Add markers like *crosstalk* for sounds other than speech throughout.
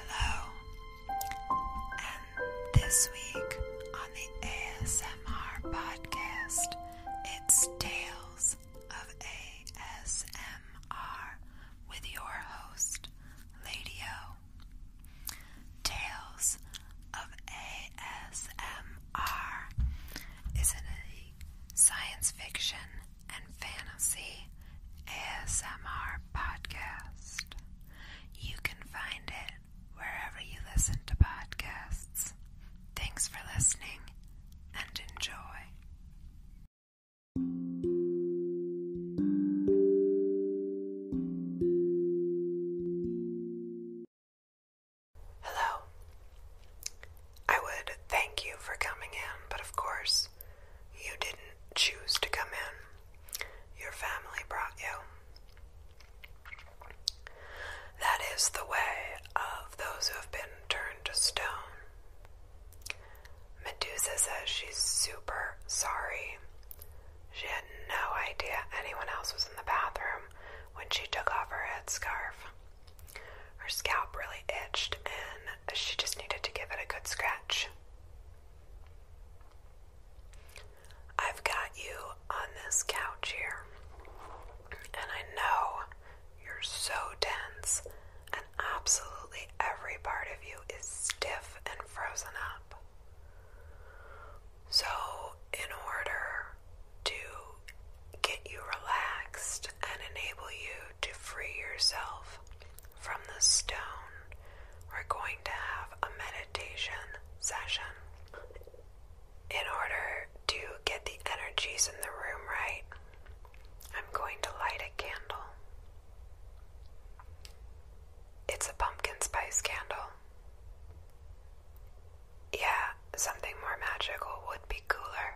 Hello, and this week on the ASMR podcast, it's Tales of ASMR with your host, Lady Tales of ASMR is a science fiction and fantasy ASMR podcast. You can find it wherever you listen to podcasts. Thanks for listening and enjoy. Hello. I would thank you for coming in, but of course, you didn't choose to come in. Your family brought you. That is the way of those who have been turned to stone. Medusa says she's super sorry. She had no idea anyone else was in the bathroom when she took off her headscarf. Her scalp really itched and she just needed to give it a good scratch. I've got you on this couch here, and I know you're so dense, and absolutely every part of you is stiff and frozen up. So, in order to get you relaxed and enable you to free yourself from the stone, we're going to have a meditation session in order to get the energies in the room right, I'm going to light a candle. It's a pumpkin spice candle. Yeah, something more magical would be cooler,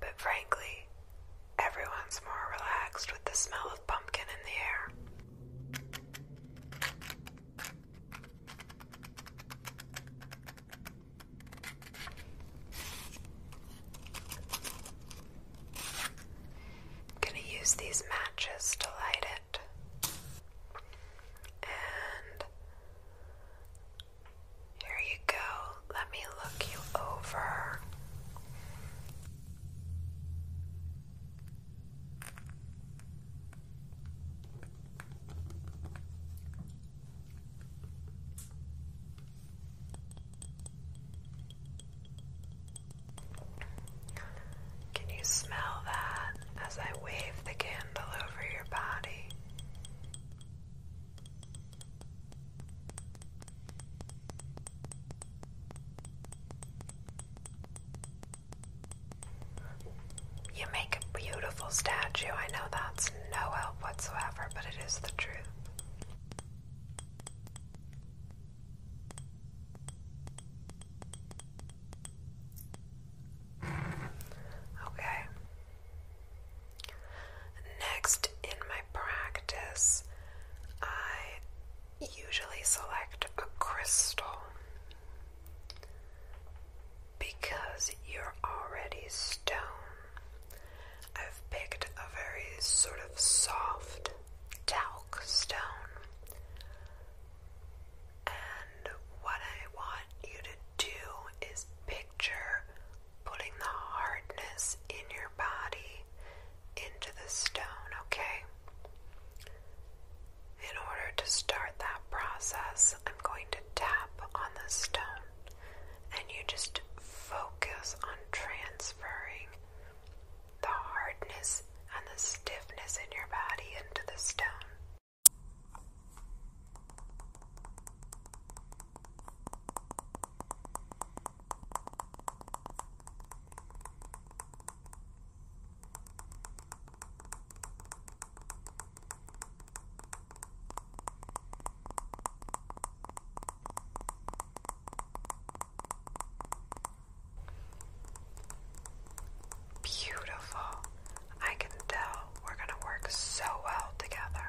but frankly, everyone's more relaxed with the smell of pumpkin in the air. I'm going to use these matches to light it. And here you go. Let me look you over. Can you smell that as I wave the candle over your body? You make a beautiful statue. I know that's no help whatsoever, but it is the truth. Okay. Next in my practice, I usually select a crystal because you're already stone. I've picked a very sort of soft talc stone. And what I want you to do is picture putting the hardness in your body into the stone, okay? In order to start that process, I'm going to tap on the stone and you just focus on transferring the hardness and the stiffness in your body into the stone. Beautiful. I can tell we're going to work so well together.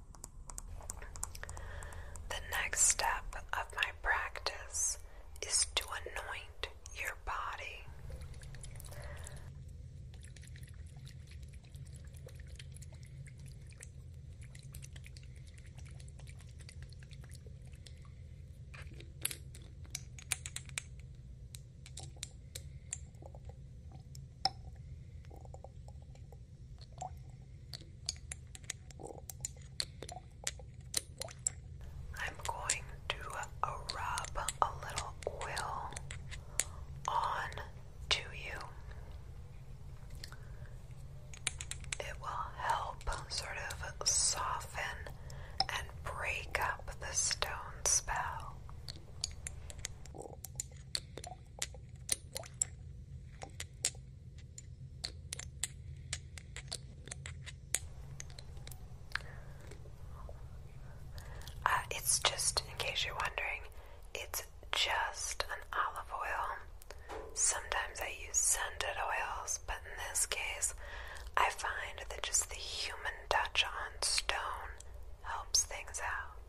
The next step of my practice is to anoint your body. I'm going to rub a little oil on to you. It will help sort of soften and break up the stone spell. Uh, it's just, in case you're wondering, it's just an olive oil. Sometimes I use scented oils, but in this case, I find that just the human touch on stone helps things out.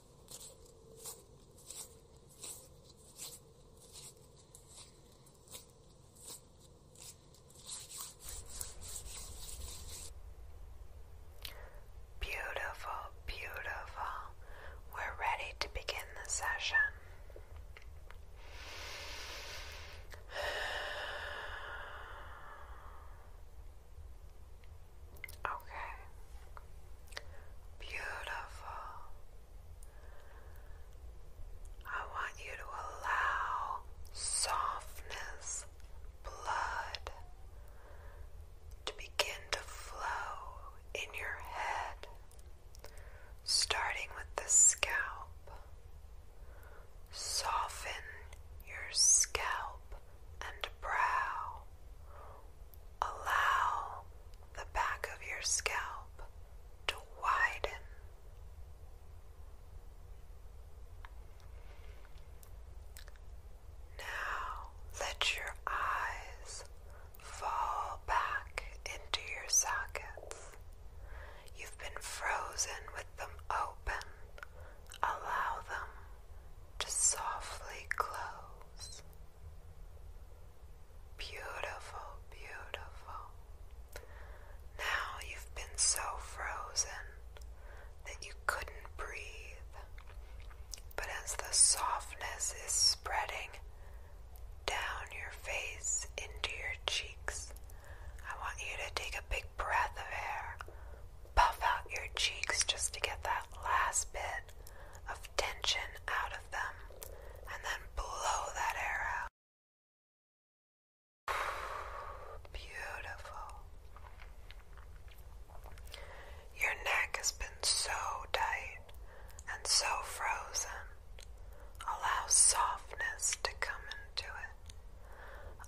Beautiful, beautiful. We're ready to begin the session. Okay. Beautiful. I want you to allow softness, blood to begin to flow in your head, starting with the scalp. Soften your scalp and brow. Allow the back of your scalp to widen. Now let your eyes fall back into your sockets. You've been frozen with them open. Allow them to softly close. Beautiful, beautiful. Now you've been so frozen that you couldn't breathe. But as the softness is spreading down your face into your cheeks, I want you to take a big breath of air puff out your cheeks just to get that last bit of tension out of them, and then blow that air out. *sighs* Beautiful. Your neck has been so tight and so frozen. Allow softness to come into it.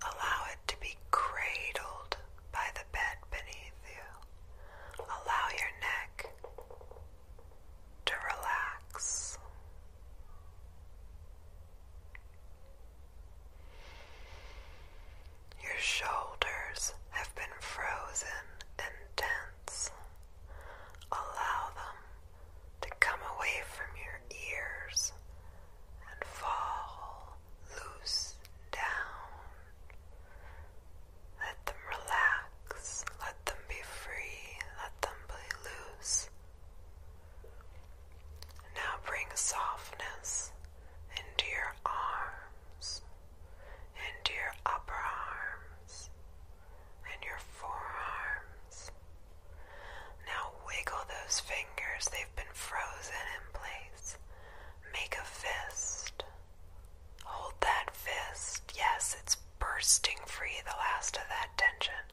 Allow it to be cradled by the bed beneath you. Allow your neck to relax. Your shoulders have been frozen and tense. Allow them to come away from your ears and fall loose down. Let them relax, let them be free, let them be loose. Now bring softness into your arms, into your upper arms, and your forearms. Now wiggle those fingers, they've been frozen in place. Make a fist. Hold that fist. Yes, it's bursting free, the last of that tension,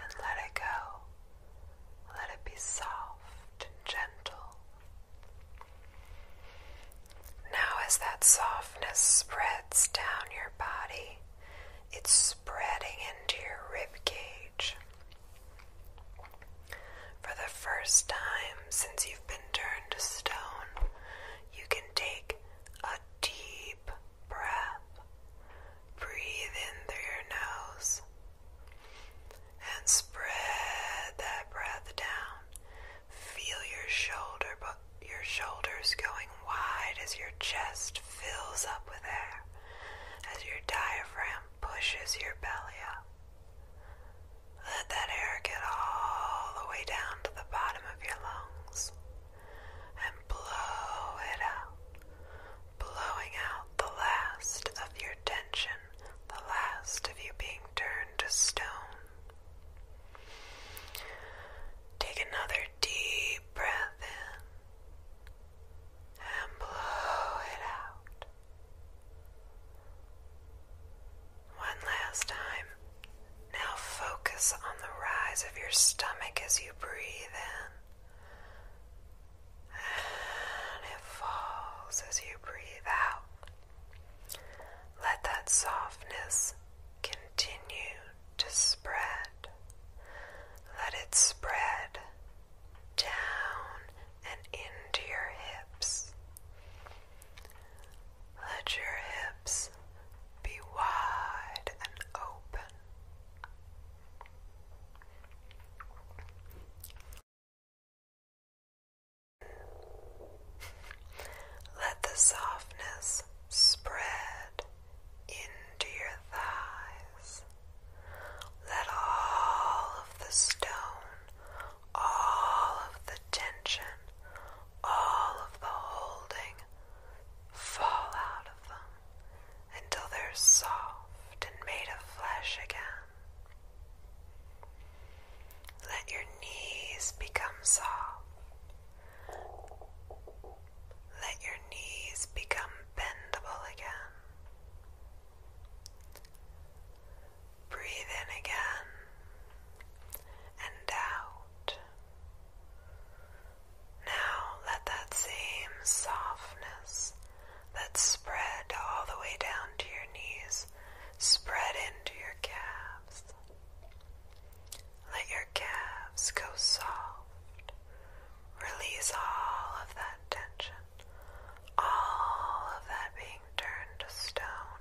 and let it go. Let it be soft and gentle. Now, as that softness spreads down your body, it's spreading into your rib cage. For the first time since you've been turned to stone, you can take a deep breath. Breathe in through your nose and spread that breath down. Feel your your shoulders going wide as your chest fills up with air as your diaphragm pushes your belly up. Let that air get all the way down to the bottom of your lungs and blow it out, blowing out the last of your tension, the last of you being turned to stone. Take another deep breath in and blow it out. One last time. Now focus on the rise of your stomach as you breathe in. And it falls as you breathe out. Let that softness continue to spread. Let it spread down and into your hips. Let your hips be wide and open. Let the softness spread into your thighs. Let all of the stone, all of the tension, all of the holding fall out of them until they're soft and made of flesh again. Let your knees become soft. Let your knees become bendable again. Breathe in again and out. Now let that same softness that spread all the way down to your knees spread into your calves. Let your calves go soft. Release all of that tension, all of that being turned to stone.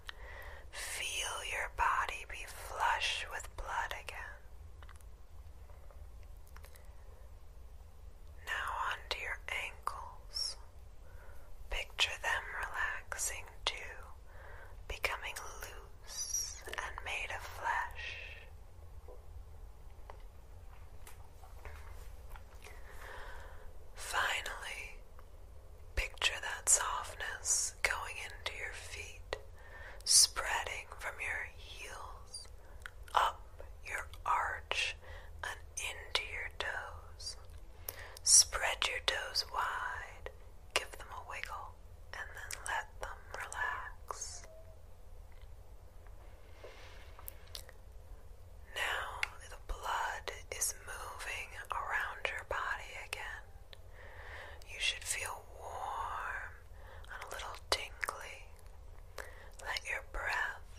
Feel your body be flush with blood again. Now onto your ankles. Picture them relaxing too, becoming loose and made of flesh. Finally, picture that softness going into your feet, spreading from your heels up your arch and into your toes. Spread your toes wide, give them a wiggle and then let them relax. Now the blood is moving around your body again. You should feel warm and a little tingly. Let your breath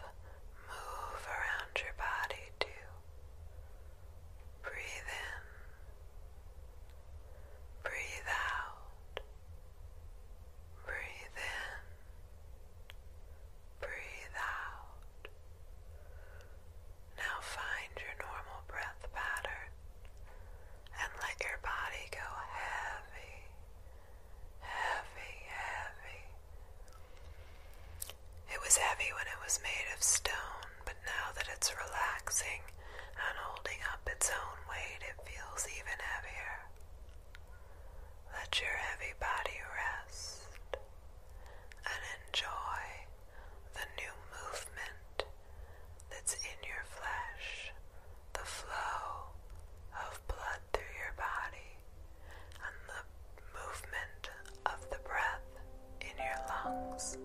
move around your body too. Breathe in Breathe out. Breathe in. Breathe out. Now find your normal breath pattern and let your body go heavy, heavy, heavy. It was heavy when it was made of stone, but now that it's relaxing and holding up its own weight, it feels even heavier. Let your heavy body rest and enjoy the new movement that's in your flesh, the flow of blood through your body, and the movement of the breath in your lungs.